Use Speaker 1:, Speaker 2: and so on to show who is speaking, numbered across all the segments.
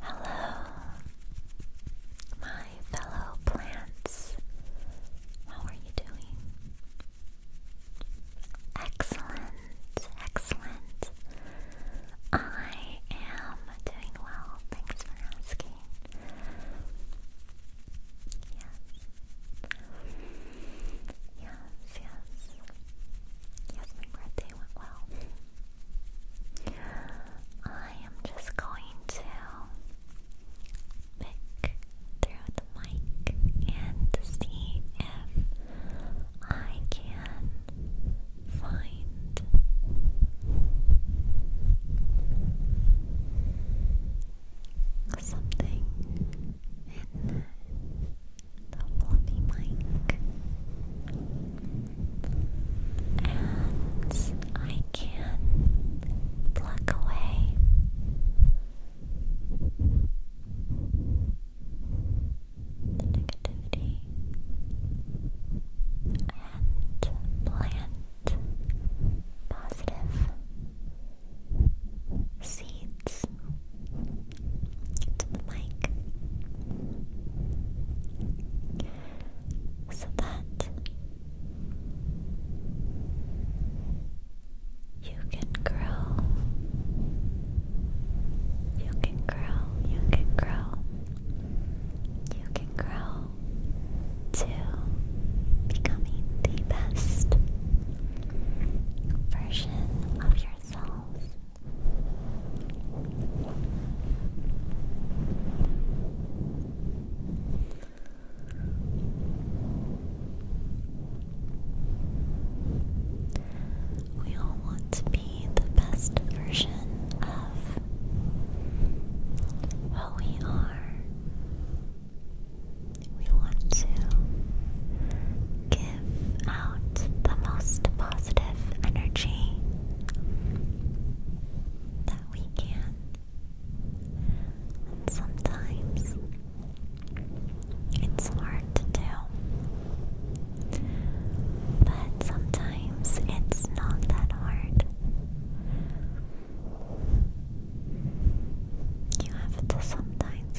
Speaker 1: Hello, my fellow plants. How are you doing? Excellent, excellent. I am doing well. Thanks for asking. Yes. Yes, yes. Yes, my birthday went well. I am just going to pick through the mic and see if I can find something the fluffy mic. And I can pluck away the negativity and plant positive seeds to the mic so that you can grow, you can grow, you can grow, you can grow to becoming the best version of yourself. We all want to be the best version of what we are. We want to give out the most positive energy that we can. sometimes it's hard to do, but sometimes it's not that hard. You have to sometimes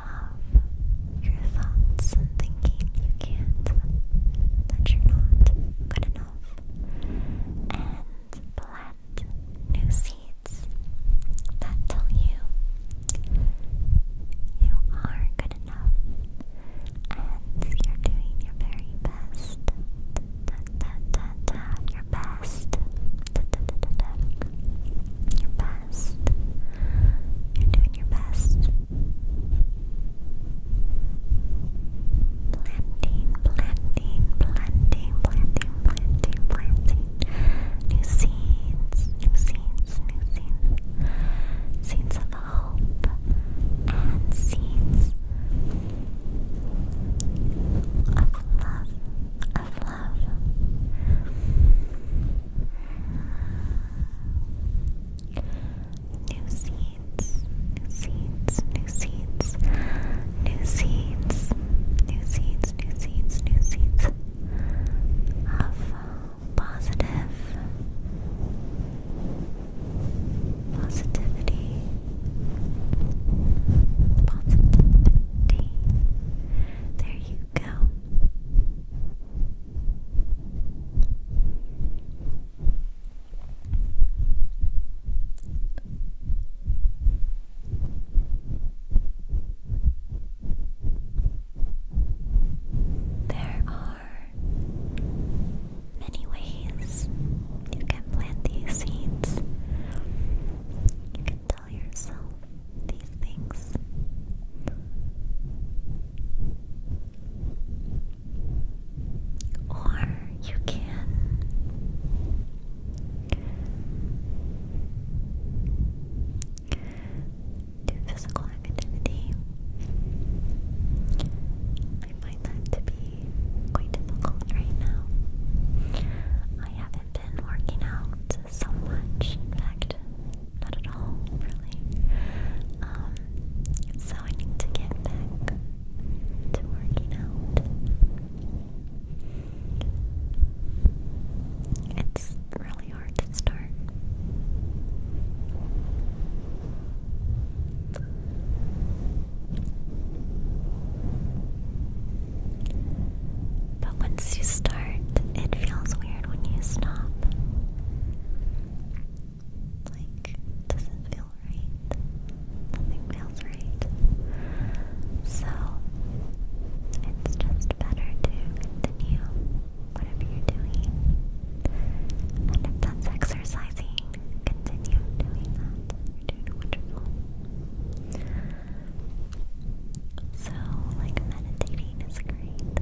Speaker 1: of your thoughts and thinking you can't, that you're not good enough, and plant new seeds that tell you you are good enough and you're doing your very best. Your best. You're doing your best. Planting, planting, planting, planting, planting, planting. New seeds, new seeds, new seeds. Seeds of hope and seeds of love, of love. New seeds, new seeds, new seeds, new seeds, new seeds, new seeds, new seeds of positive positivity, positivity. There you go. There are many ways you can plant these seeds tell yourself these things. Or you can do physical activity. I find that to be quite difficult right now. I haven't been working out so much. In fact, not at all, really. Um, so I need to get back to working out. It's really hard to start. But once you start, it feels weird when you stop. Like, doesn't feel right. Nothing feels right. So, it's just better to continue whatever you're doing. And if that's exercising, continue doing that. You're doing wonderful. So, like, meditating is great.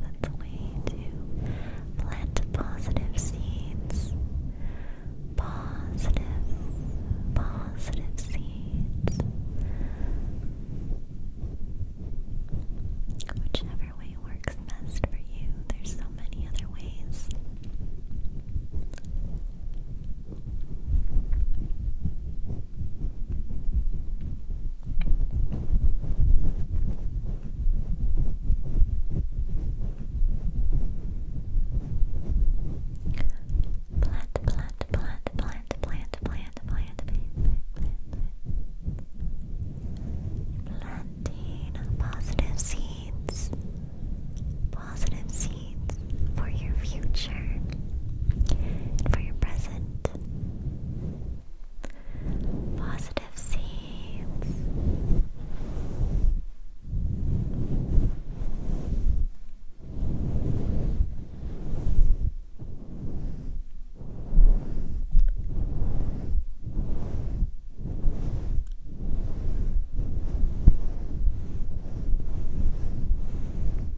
Speaker 1: That's a way to plant positive seeds. Positive, positive seeds. Whichever way works best for you. There's so many other ways. Plant, plant, plant, plant, plant, plant, plant, plant, planting positive seeds, positive seeds for your future, for your present, Positive seeds.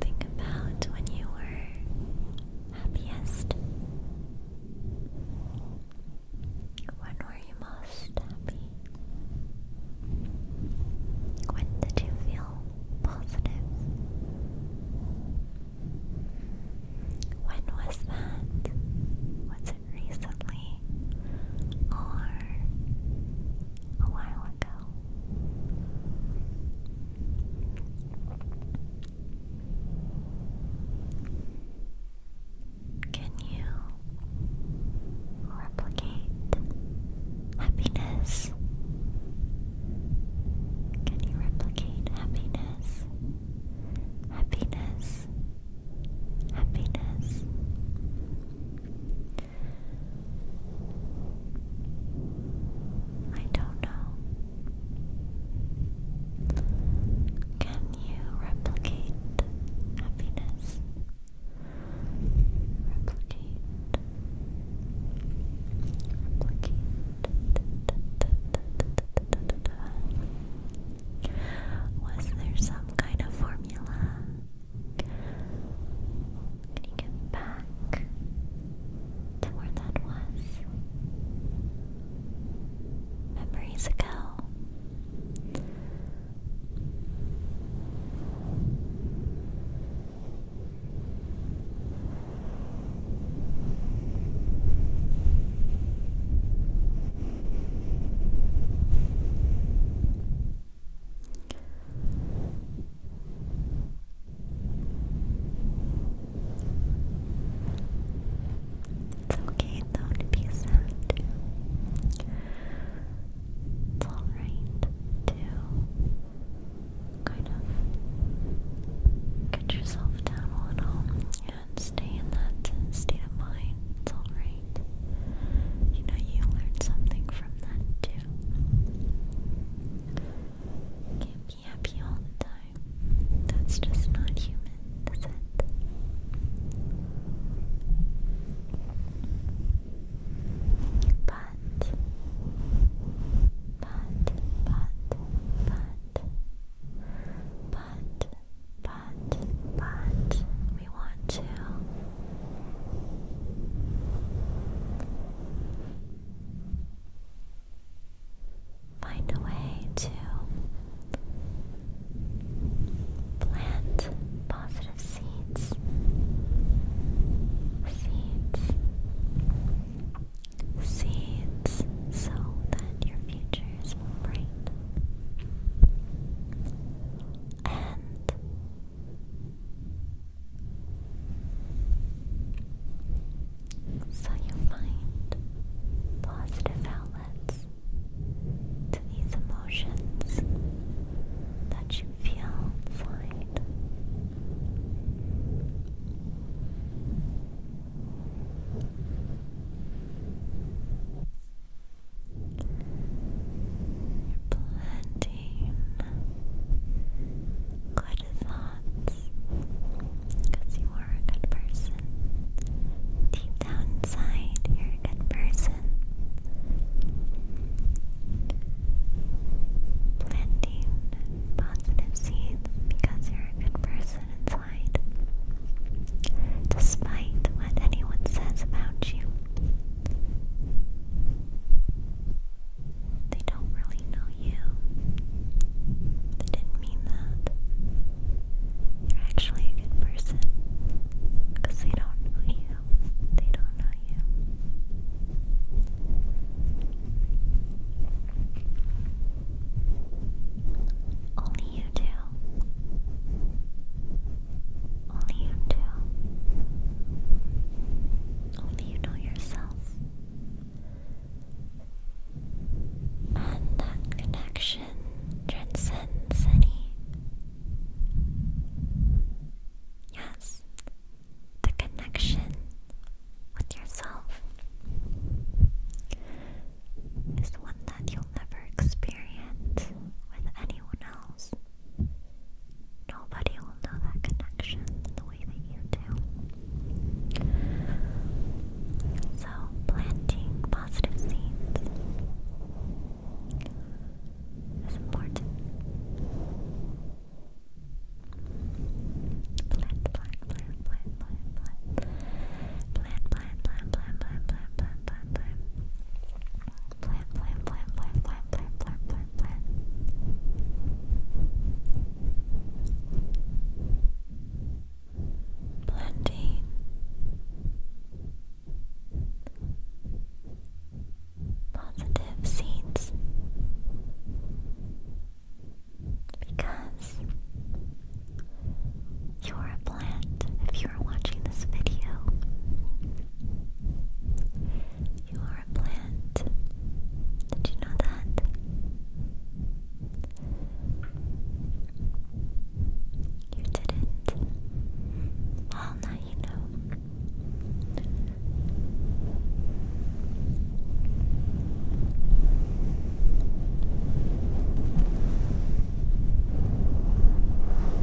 Speaker 1: Think about when you were happiest. When were you most happy? When did you feel positive? When was that? Was recently or a while ago. Can you replicate happiness? Can you replicate happiness? Happiness happiness. I don't know. Can you replicate happiness? Replicate. Replicate. Was there some kind of formula? Can you get back to where that was? Memories ago. It's okay though to be sad It's alright to kind of get yourself down a little and stay in that state of mind. It's alright right? You know, you learned something from that too. Can't be happy all the time. That's just not human, is it? But, but, but, but, but, but but we want to find a way to plant positive seeds seeds seeds so that your future is bright and so you find positive outlets to these emotions that you feel inside planting good thoughts because you are a good person. Deep down inside, you're a good person. Planting positive seeds because you're a good person inside despite what anyone says about you. They don't really know you. They didn't mean that. You're actually a good person they don't know you. They don't know you. Only only you two. Only you two. Only you know yourself. And that connection transcends any. Yes, the connection with yourself is one that you'll never experience with anyone else. Nobody will know that connection the way that you do. So, planting positive seeds is important. Plant, plant, plant, plant, plant, plant. Plant plan, plan, plan, plan, plan, plan, plan, plan. Plan, plan, plan, plan, plan, plan, Planting. Positive seeds. Because you're a plant if you're watching this video. You are a plant. Did you know that? You didn't. Well, now you know.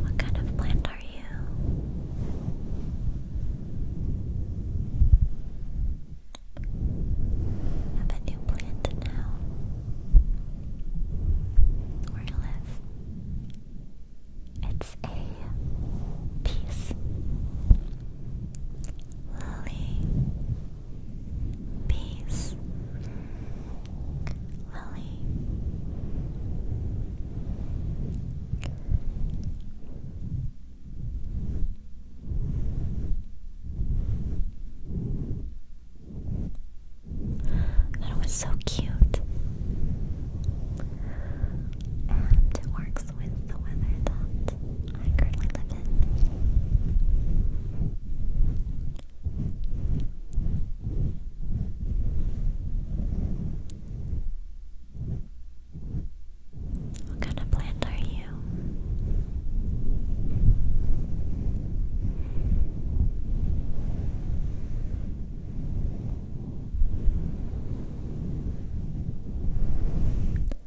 Speaker 1: What kind of plant are you? Have a new plant now. Where you live? It's a peace lily. Peace, Lily. That was so cute. And it works works with the weather that I currently live in. What kind of plant are you?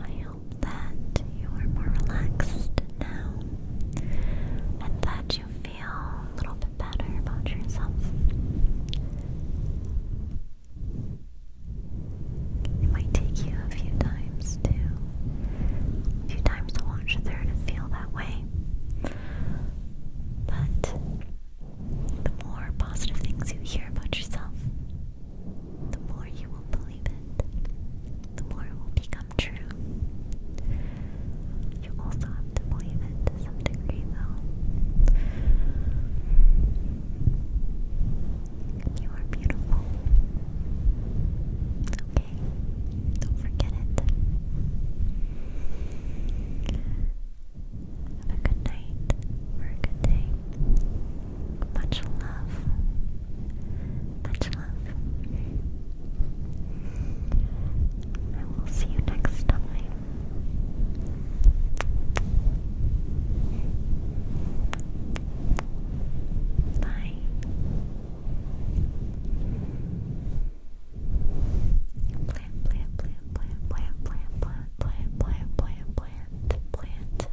Speaker 1: I hope that you are more relaxed now and that you feel a little bit better about yourself. It might take you a few times to a few times to watch through to feel that way. But the more positive things you hear about yourself, the more you will believe it. The more it will become true. You also have to believe it to You are beautiful. Okay, don't forget it. Have a good night or a good day. Much love. Much love. I will see you next time. Bye. Plant, plant, plant, plant, plant, plant, plant, plant, plant, plant, plant, plant.